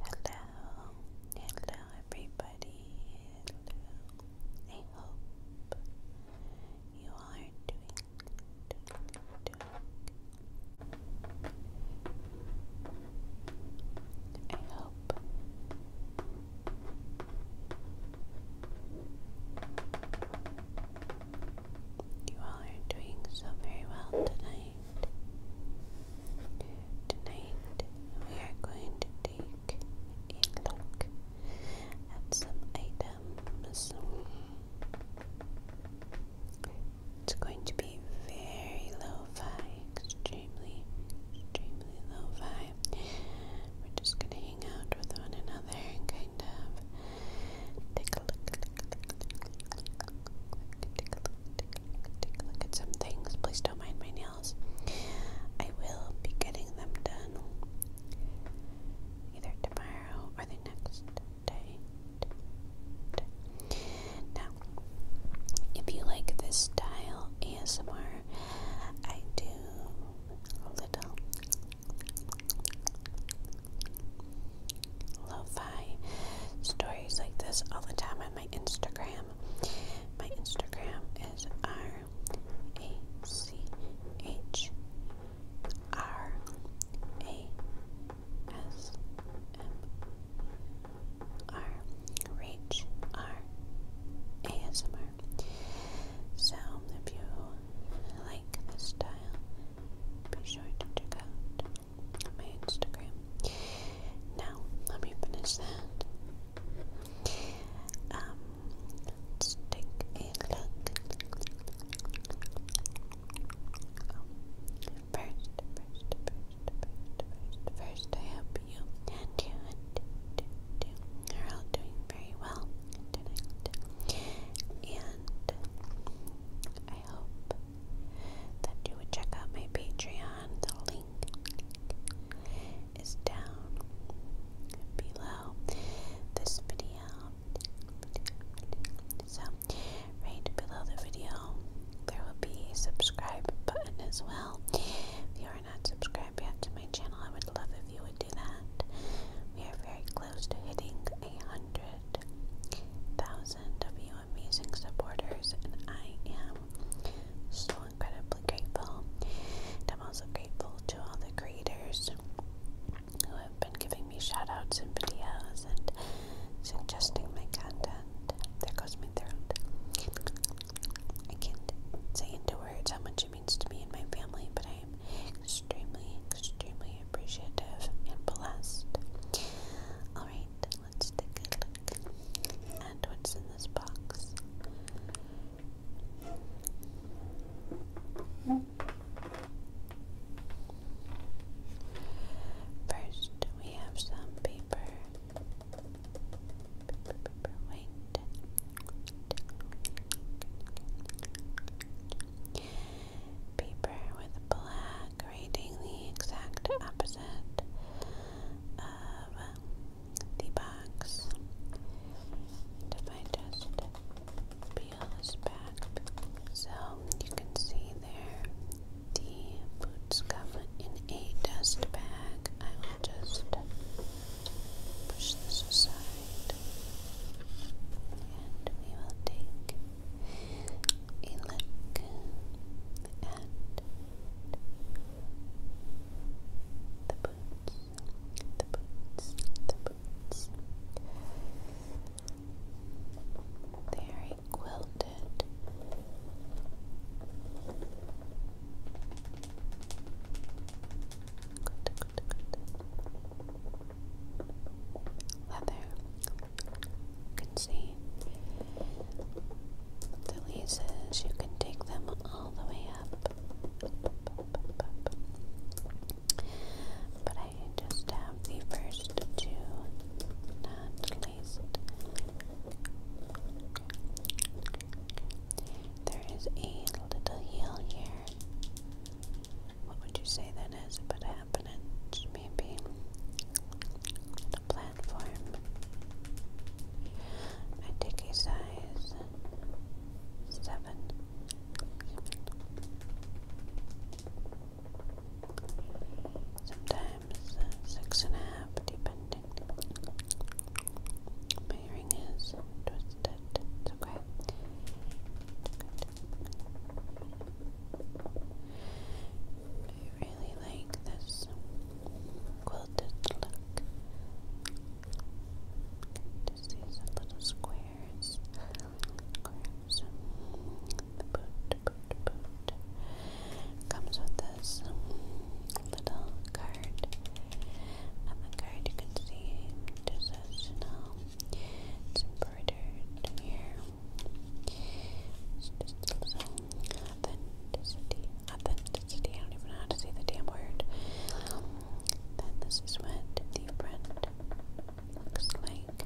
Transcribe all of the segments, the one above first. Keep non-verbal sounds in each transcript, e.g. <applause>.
Hello, hello everybody. I hope you are doing, doing, doing. I hope you all are doing so very well tonight. Tonight, we are going to take a look at some items. It's going to be very low fi, extremely, extremely low fi. We're just going to hang out with one another and kind of Take a look, take a look, take a look, at some things. Please don't mind my nails. I will be getting them done either tomorrow or the next day. Now, if you like this style ASMR, I do a little lo-fi stories like this all the time on my Instagram. My Instagram is R A C H R A S M R Reach So if you like this style, be sure to check out my Instagram. Now, let me finish that. Um, take a look. first, first, first, first, first, I hope you and you are all doing very well And I hope that you would check out my Patreon. The link is down below this video. So, right below the video, there will be a subscribe button as well. If you are not subscribed yet to my channel, I would love if you would do that. We are very close to hitting a hundred thousand of you amazing supporters, and I am so incredibly grateful. I'm also grateful to all the creators who have been giving me shout outs videos and suggesting my content. There goes my throat. I can't say into words how much it means to me and my family, but I extremely, extremely appreciative and blessed. Alright, let's take a look at what's in this box. First, we have some paper. Paper, paper, white paper with black rating the exact opposite of the box. And if I so you can see there the boots come in a dust bag. I will just push this aside and we will take a look at the boots, the boots, the boots. Very quilted. Leather. You can see the laces. You can take them all the way up. But I just have the first two not laced. There is a little heel here. What would you say that is? But happenings, maybe the platform. I take size seven. Sometimes six and a half, depending. My earring is twisted. It's okay. I really like this quilted look. Just these little squares. Um, the boot, boot, boot. Comes with this little card. On the card, you can see process, you know. It's embroidered here. It's just a little authenticity. Authenticity, I don't even know how to say the damn word. then this is when the print looks like.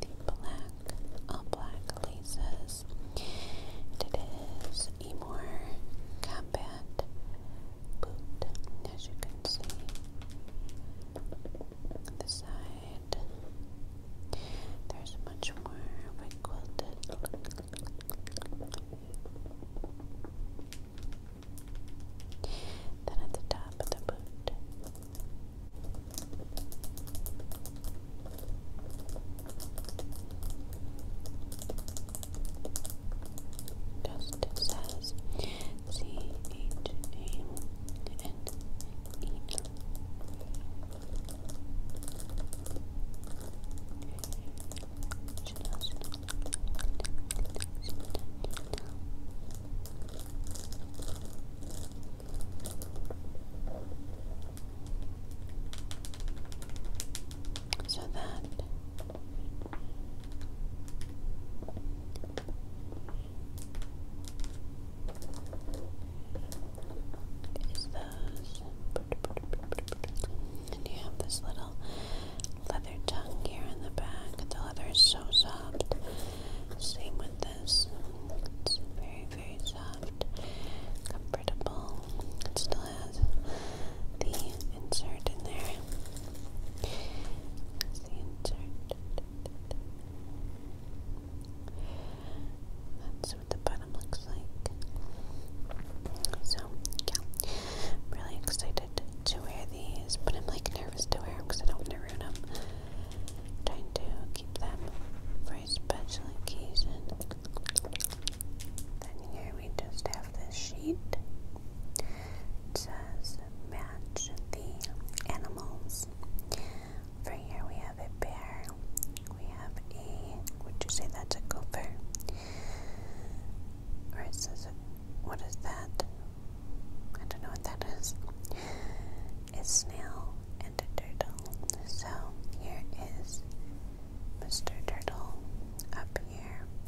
The black, all black laces. it is a more combat boot, as you can see. the side, there's much more of a quilted look. Then at the top of the boot. Dustin says So that you have this little leather tongue here in the back. The leather is so soft. Same with this. It's very, very soft, comfortable. It still has the insert in there. That's the insert. That's what the bottom looks like. So, yeah, I'm really excited to wear these, but I'm like nervous to wear them because I don't want to ruin them. trying to keep them for special occasion. Then here we just have this sheet just match the animals. For here we have a bear. We have a, would you say that's a gopher? Or is this a, what is that? I don't know what that is. A snail and a turtle. So here is Mr. Turtle up here.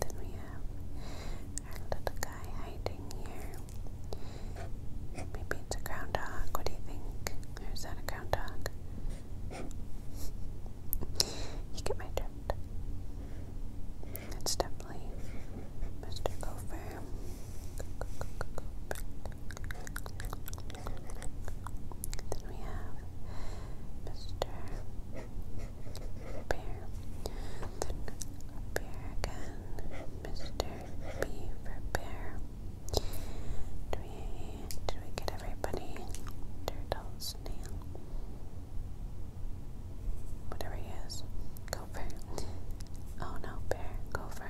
Then we have our little guy hiding here. Maybe it's a groundhog. What do you think? is that a groundhog? <laughs> you get my drift. It's definitely Mr. Gopher. Then we have Mr. Bear. Then bear again. Mr. B for bear. Do we do we get everybody? Turtle, snail. Whatever he is. Gopher. Oh no, bear, gopher.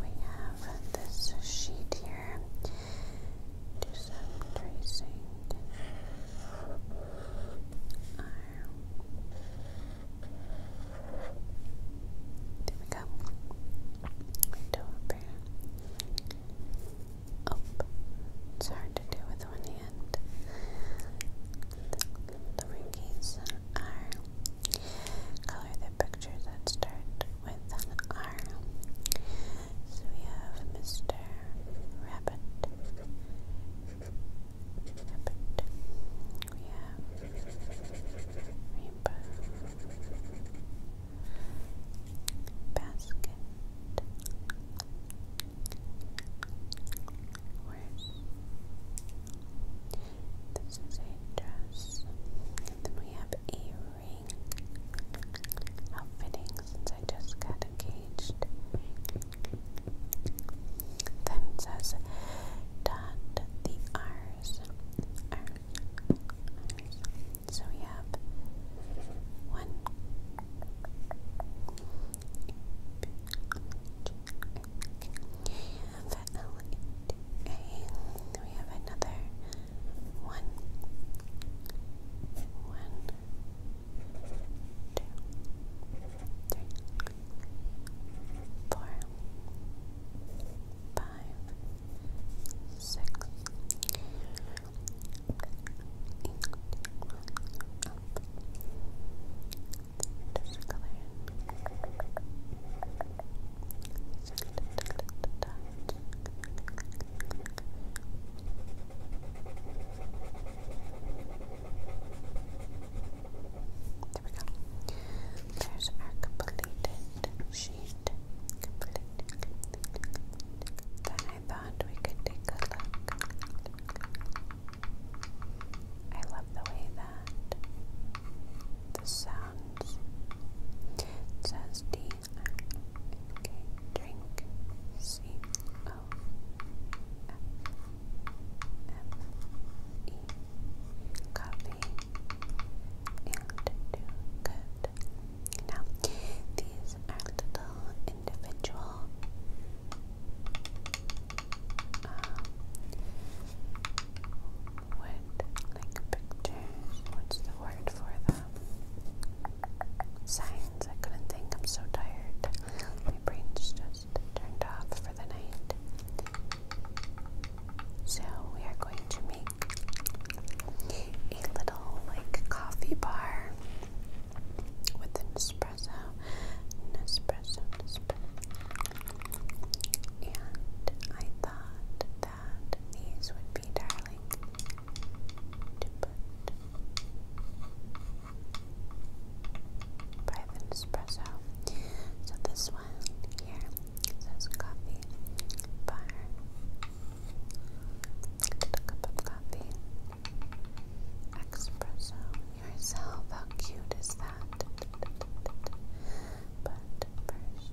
We have this sheet here. Do some tracing. There we go. Window open up. Oh, it's hard to do with one hand. The Rinkies are color the pictures that start with R. So we have Mr. Rabbit. We have Rainbow basket Where's this is dress then we have a ring how I just got engaged then says dot the R's so we have one, we have L A. We have another one, one, two, three, four, five six, eight, up. Different color. There we go. There's our completed sheet. Then I thought we could take a I love the way that the sounds. says D. drink. C. O. F. F. E. Copy. And do good. Now, these are little individual um, like pictures. What's the word for them? Signs. I couldn't think. I'm so tired. My brain's just turned off for the night. So, we are going to make a little like coffee bar with an espresso, an espresso, and I thought that these would be darling to put by the espresso. So this one here says coffee bar a cup of coffee. Espresso yourself. How cute is that? But first, But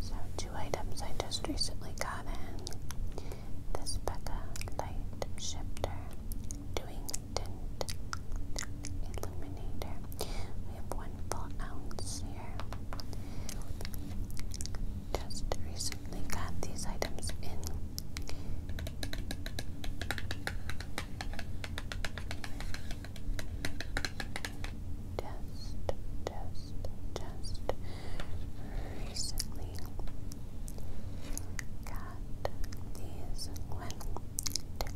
So, two items I just recently got in this Becca Light Shifter Doing Tint Illuminator. We have one full ounce here. Just recently got these items in test, test, test recently got these one, two,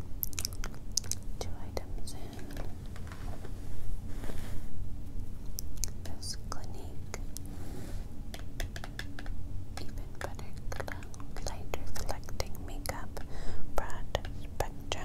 two items in this Clinique Even Butter Light Reflecting Makeup Broad Spectrum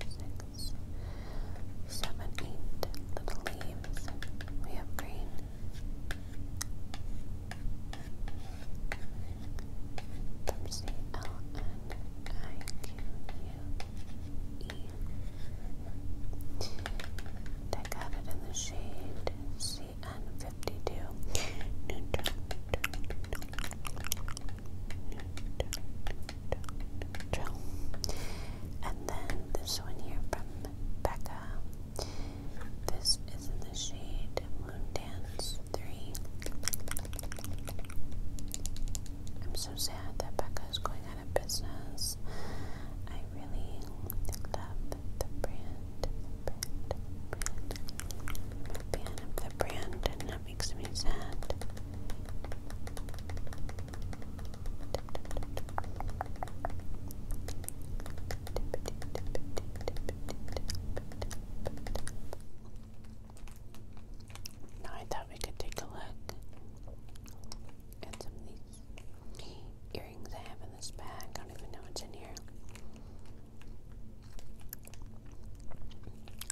six, seven, eight little leaves. We have green. From got it in the shade C N fifty two. And then this one here from Becca. This is in the shade Moon Dance 3. I'm so sad that Becca is going out of business. I really love the brand, the brand, and that makes me sad. Now I thought we could take a look at some of these earrings I have in this bag. I don't even know what's in here.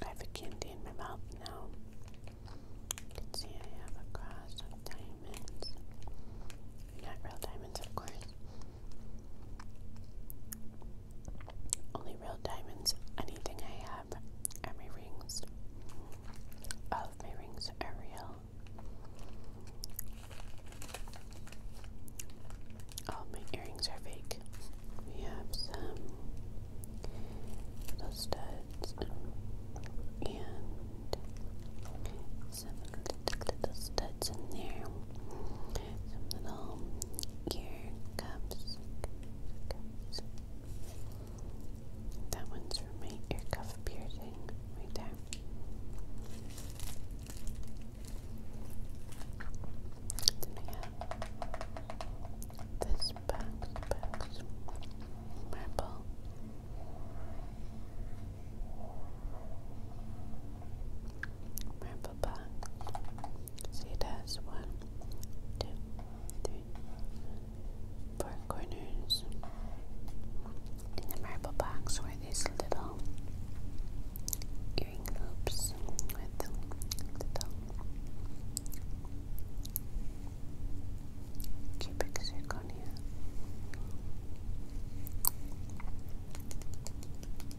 I have a candy in my mouth now. You can see I have a cross of diamonds. Not real diamonds, of course. Only real diamonds. Anything I have are my rings. of my rings are real. All my earrings are fake. We have some little studs and some little studs in there, some little ear cuffs. That one's for my ear cuff piercing right there. Then this purple, purple, box. See, that's one, two, three, four corners. In the marble box were these little earring loops with little Cubic zirconia.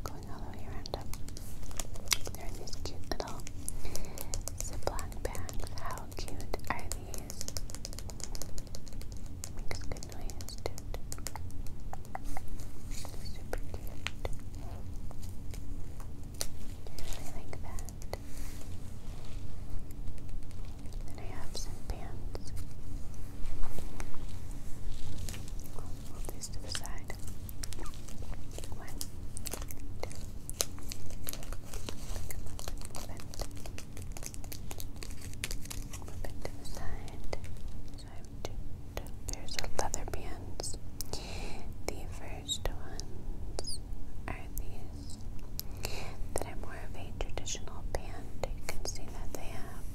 Going all the way around up. They're in these cute little Ziploc bags. How cute are these? Makes good noise, dude. Super cute. I really like that. Then I have some pants. i these to the side. One, two. Come to the side. So two, two pairs leather pants. The first ones are these that are more of a traditional band. You can see that they have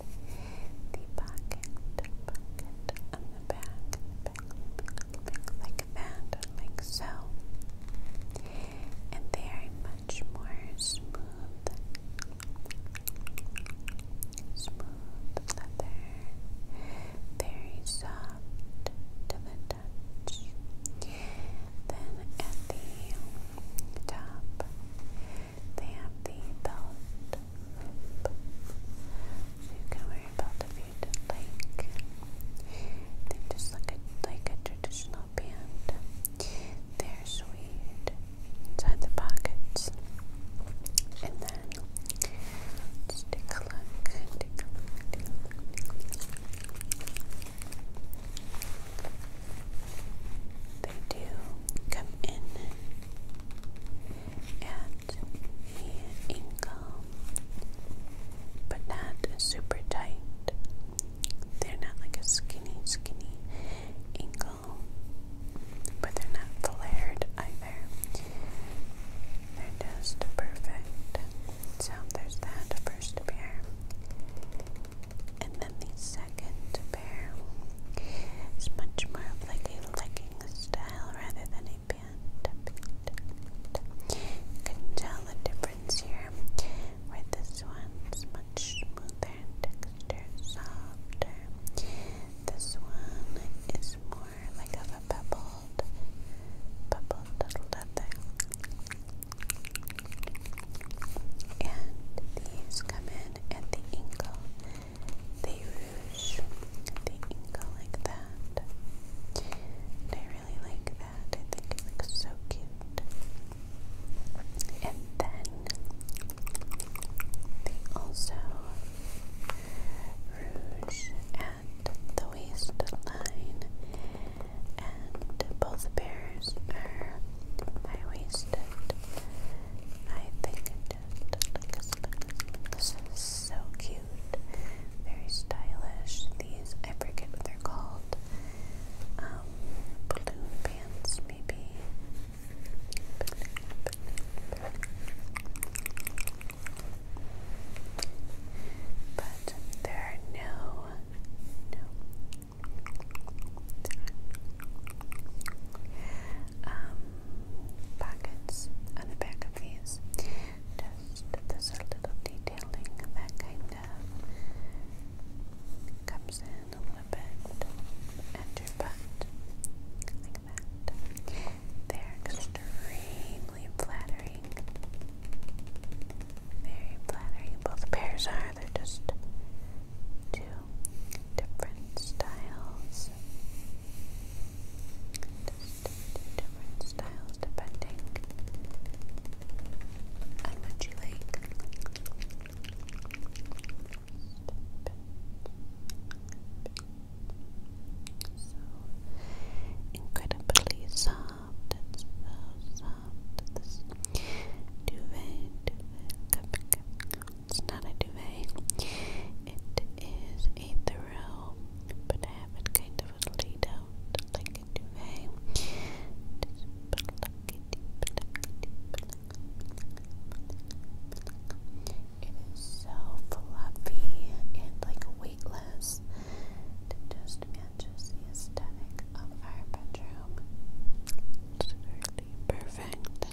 the pocket, on the back like that, like so. And they are much more smooth, smooth leather, very soft soft to the touch. Then at the top, they have the belt you can wear a belt if you'd like. They just look like a traditional band. They're sweet inside the pockets. And then Stick a look. Take a look. They do come in at the ankle, but not super tight. They're not like a skinny, skinny ankle, but they're not flared either. They're just perfect. So there's that first pair. And then the second pair is much more of like a legging style rather than a pant. You can tell the difference here where this one's much smoother texture, softer. This one is more form like of a pebbled, pebbled little nothing. And these come in at the ankle. They rouge the ankle like that. I really like that. I think it looks so cute. And then they also rouge at the waistline, and both pairs are high waisted. I think just This is so cute, very stylish. These, I forget what they're called. Um, balloon pants, maybe. But there are no, no um, pockets on the back of these. Just this little detailing that kind of comes in a little bit at your butt, like that. They're extremely flattering. Very flattering. Both pairs are. They're just two different styles. Just different styles depending on what you like incredibly soft. It's so soft. This duvet, duvet, it's not a duvet. It is a throw, but it kind of laid out like a duvet. It is so fluffy and like weightless. It just matches the aesthetic of our bedroom. It's really perfect.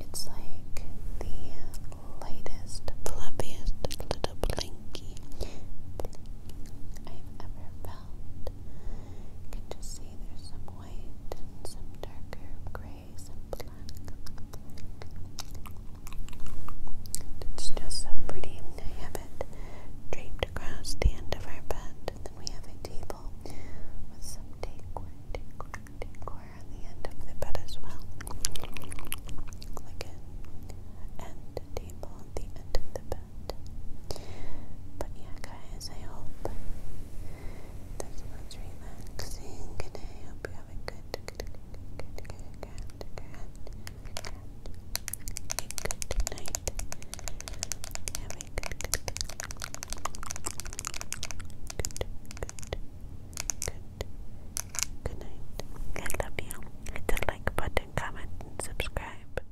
It's like the lightest, fluffiest little blankie I've ever felt. can just there's some white and some darker gray, some black. It's just so pretty. I have it draped across the end of our bed, and then we have a table with some decor, decor, decor the end of the bed as well. Like an end table at the end of the but yeah, guys, I hope this was relaxing, and I hope you have a good, good, good, good, good, good, good, good, good night. Have a good, good, good, good, good, good night. I love you. Hit the like button, comment, and subscribe.